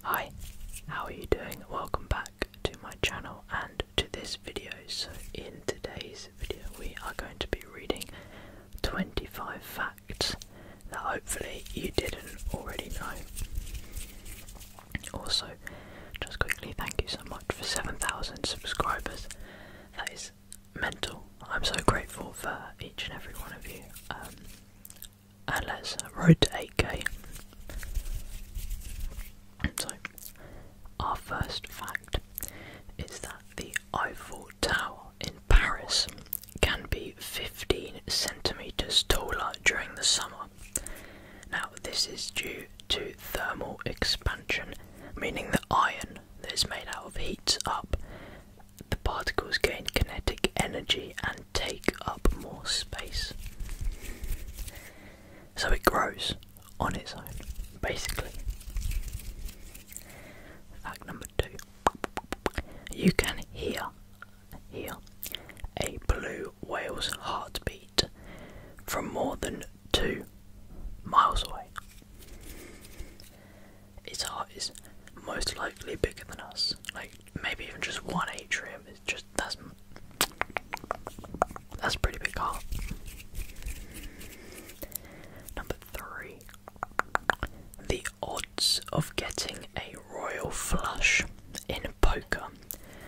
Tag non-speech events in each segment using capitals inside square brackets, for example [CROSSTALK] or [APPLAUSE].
Hi, how are you doing? Welcome back to my channel and to this video. So, in today's video, we are going to be reading 25 facts that hopefully you didn't already know. Also, just quickly, thank you so much for 7,000 subscribers. That is mental. I'm so grateful for each and every one of you. Um, and let's uh, road to 8k. So, our first fact is that the Eiffel Tower in Paris can be 15 centimetres taller during the summer. Now, this is due to thermal expansion, meaning the iron that is made out of heats up, the particles gain kinetic energy and take up more space. So it grows on its own, basically. Fact number two you can hear, hear a blue to Wales' heartbeat from more than two miles away. Its heart is most likely bigger than us, like maybe even just one atrium. It's just that's that's pretty big heart. Number three, the odds of getting a royal flush in poker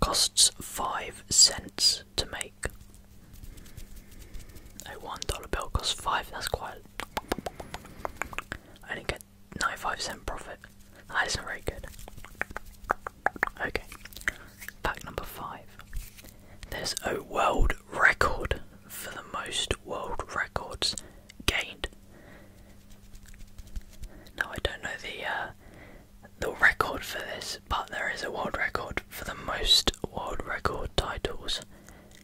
Costs 5 cents to make. A $1 bill costs 5, that's quite. I only get 95 cent profit. That isn't very good. Okay, fact number 5. There's a world record for the most world records gained now I don't know the uh, the record for this, but there is a world record for the most world record titles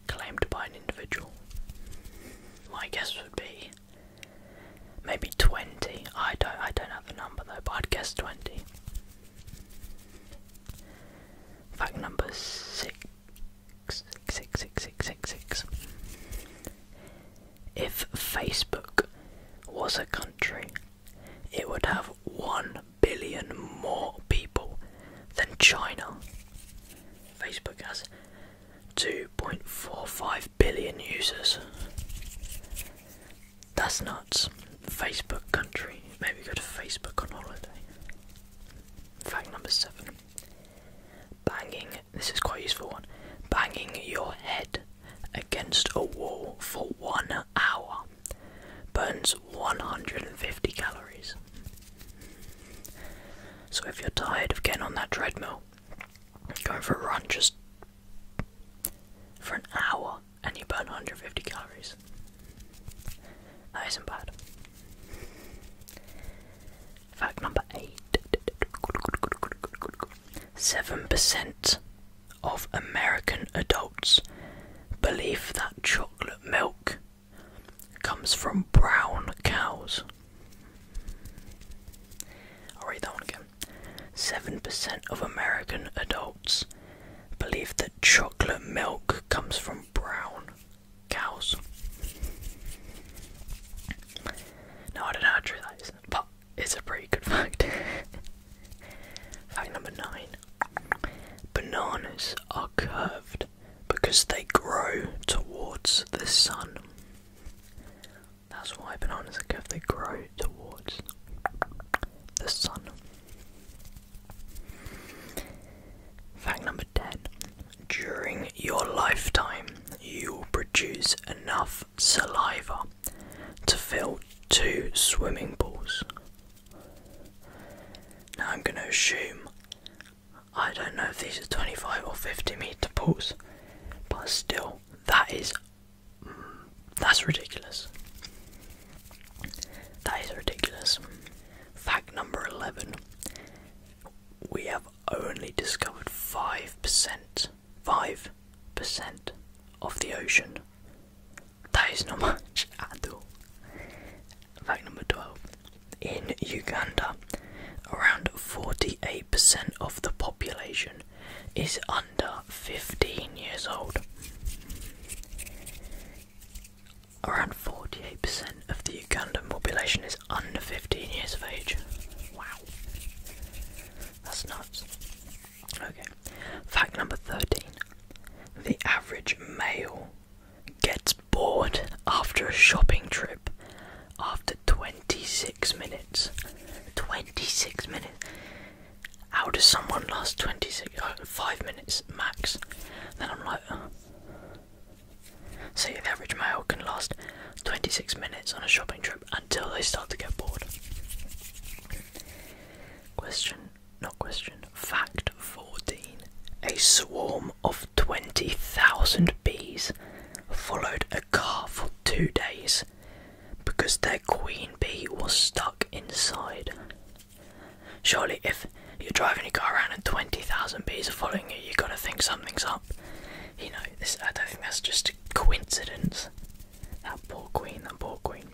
claimed by an individual. My guess would be maybe twenty. I don't I don't have a number though, but I'd guess twenty. Fact number six, six, six, six, six, six. If Facebook was a country, it would have 1 billion more people than China. Facebook has 2.45 billion users. That's nuts. Facebook country. Maybe go to Facebook on holiday. Fact number seven. Banging this is quite useful one. Banging your head against a wall for one hour burns 150 calories. So if you're tired of getting on that treadmill, going for a run just for an hour and you burn 150 calories. That isn't bad. Fact number eight. Seven percent of American adults believe that chocolate milk comes from brown cows. i read that one again. Seven percent of American adults believe that chocolate milk comes from brown cows. Now I don't know true that is, but it's a pretty good fact. [LAUGHS] fact number nine Bananas are curved because they grow towards the sun. That's why bananas are curved, they grow towards the sun. Fact number 10 during your lifetime, you will produce enough saliva to fill two swimming pools. Now I'm going to assume, I don't know if these are 25 or 50 meter pools, but still, that is, mm, that's ridiculous. That is ridiculous. Fact number 11 we have only discovered 5%. 5% of the ocean. That is not [LAUGHS] much at all. Fact number 12. In Uganda, around 48% of the population is under 15 years old. Around 48% of the Ugandan population is under 15 years of age. Wow. That's nuts. Okay. Fact number 13. The average male gets bored after a shopping trip after 26 minutes. 26 minutes. How does someone last 26 oh, 5 minutes max? Then I'm like, so the average male can last 26 minutes on a shopping trip until they start to get bored. Question, not question, fact 14. A swarm of 20,000 bees followed a car for two days because their queen bee was stuck inside. Surely, if you're driving your car around and 20,000 bees are following you, you've got to think something's up. You know, I don't think that's just a coincidence. That poor queen, that poor queen.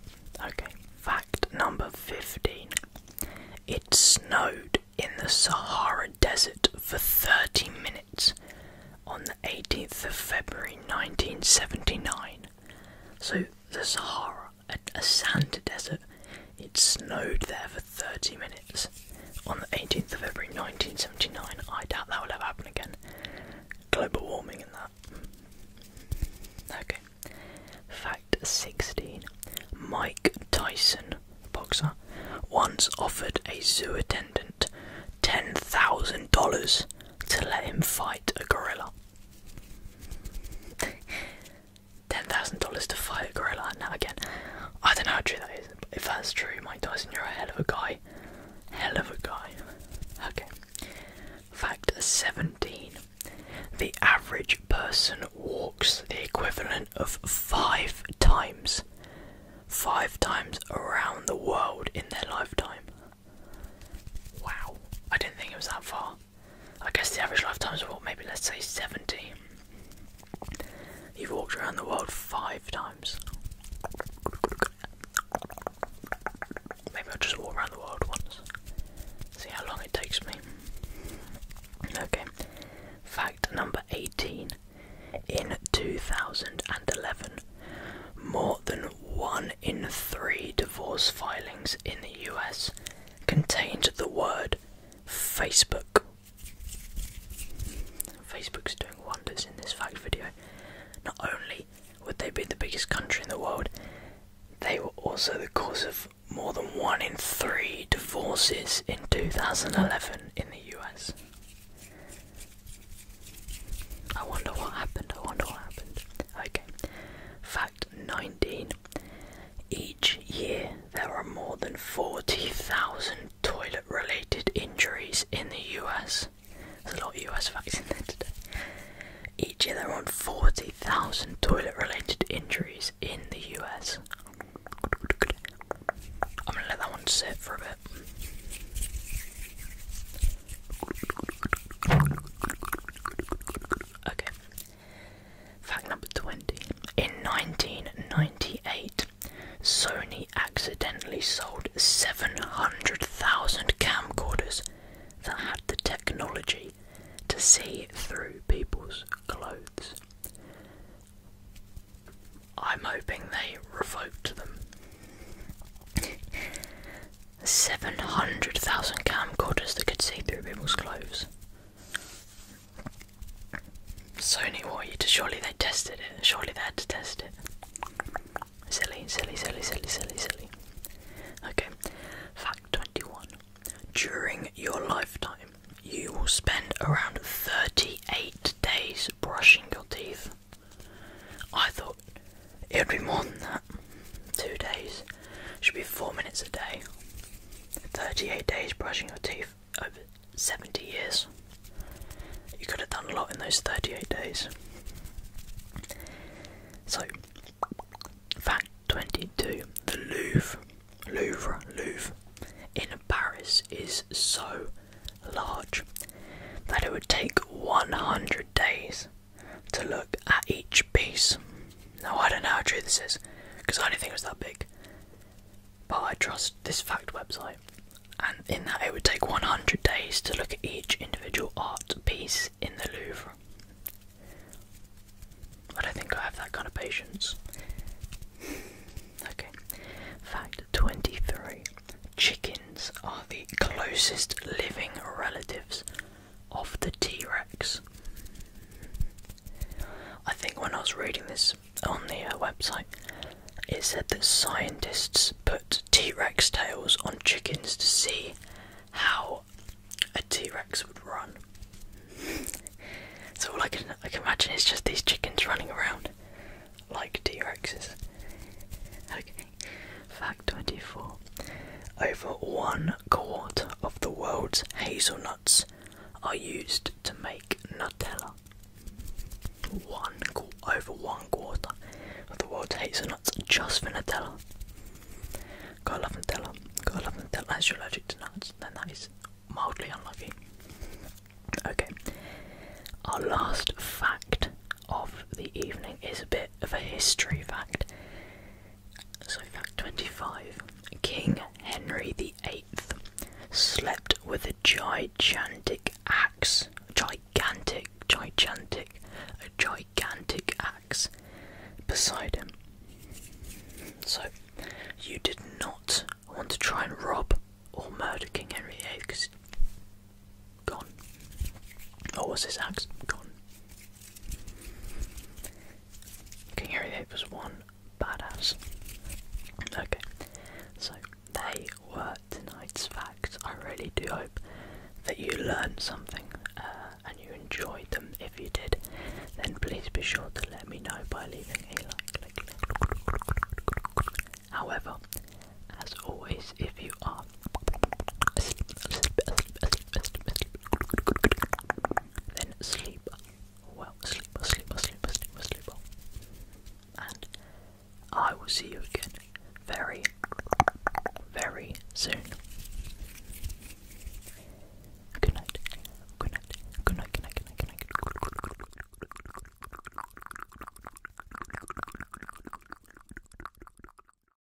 Okay, fact number 15. It snowed in the Sahara Desert for 30 minutes on the 18th of February 1979. So, the Sahara, a, a sand desert it. snowed there for 30 minutes on the 18th of February 1979. I doubt that will ever happen again. Global warming in that. Okay. Fact 16. Mike Tyson, boxer, once offered a zoo attendant $10,000 to let him fight a gorilla. [LAUGHS] ten thousand dollars to fight a gorilla and now again. I don't know how true that is. But if that's true, Mike Tyson, you're a hell of a guy. Hell of a guy. Okay. Fact seventeen. The average person walks the equivalent of five times. Five times around the world in their lifetime. Wow. I didn't think it was that far. I guess the average lifetime is what, maybe let's say 70. You've walked around the world five times. Maybe i just walk around the world once. See how long it takes me. Okay. Fact number 18. In 2011, more than one in three divorce filings in the US contained the word Facebook. is doing wonders in this fact video. Not only would they be the biggest country in the world, they were also the cause of more than one in three divorces in 2011 in the US. I wonder what happened. I wonder what happened. Okay. Fact 19. Each year there are more than 40,000 toilet related injuries in the US. There's a lot of US facts in there today. Each year there are 40,000 toilet related injuries in the US. I'm gonna let that one sit for a bit. Okay, Fact number 20. In 1998, Sony accidentally sold 700,000 camcorders that had the technology to see through people's clothes. I'm hoping they revoked them. 700,000 camcorders that could see through people's clothes. Sony Warrior, surely they tested it. Surely they had to test it. Silly, silly, silly, silly, silly, silly. Okay, fact 21. During your lifetime, you will spend around 38 days brushing your teeth. I thought it would be more than that. Two days. Should be four minutes a day. 38 days brushing your teeth over 70 years. You could have done a lot in those 38 days. So, fact 22 the Louvre, Louvre, Louvre in Paris is so large that it would take 100 days to look at each inch piece. Now, I don't know how true this is, because I didn't think it was that big. But I trust this fact website, and in that it would take 100 days to look at each individual art piece in the Louvre. I don't think I have that kind of patience. okay, fact 23 chickens are the closest living relatives of the T Rex. I think when I was reading this on the uh, website, it said that scientists put T Rex tails on chickens to see how a T Rex would run. so all I can, I can imagine is just these chickens running around like T Rexes. Okay, fact 24. Over one quart of the world's hazelnuts are used to make Nutella. One over one quarter of the world's hazelnuts just for Nutella. got love Nutella. got love Nutella. Unless you're allergic to nuts, then that is mildly unlucky. Okay, our last fact of the evening is a bit of a history fact. So, fact 25 King Henry VIII slept with a gigantic axe. Gigantic, gigantic, a gigantic axe beside him. So, you did not want to try and rob or murder King Henry VIII because gone. Or was his axe gone? King Harry VIII was one badass. Okay, so they were tonight's facts. I really do hope that you learned something uh, and you enjoyed them. If you did, then please be sure to let me know by leaving a like. like, like. However, as always, if you are Asleep, asleep, asleep, asleep, asleep, asleep. Then sleep. Well, sleep, sleep, sleep, sleep, sleep. And I will see you again very, very soon. Good night. Good night. Good night. Good night. Good night. Good night.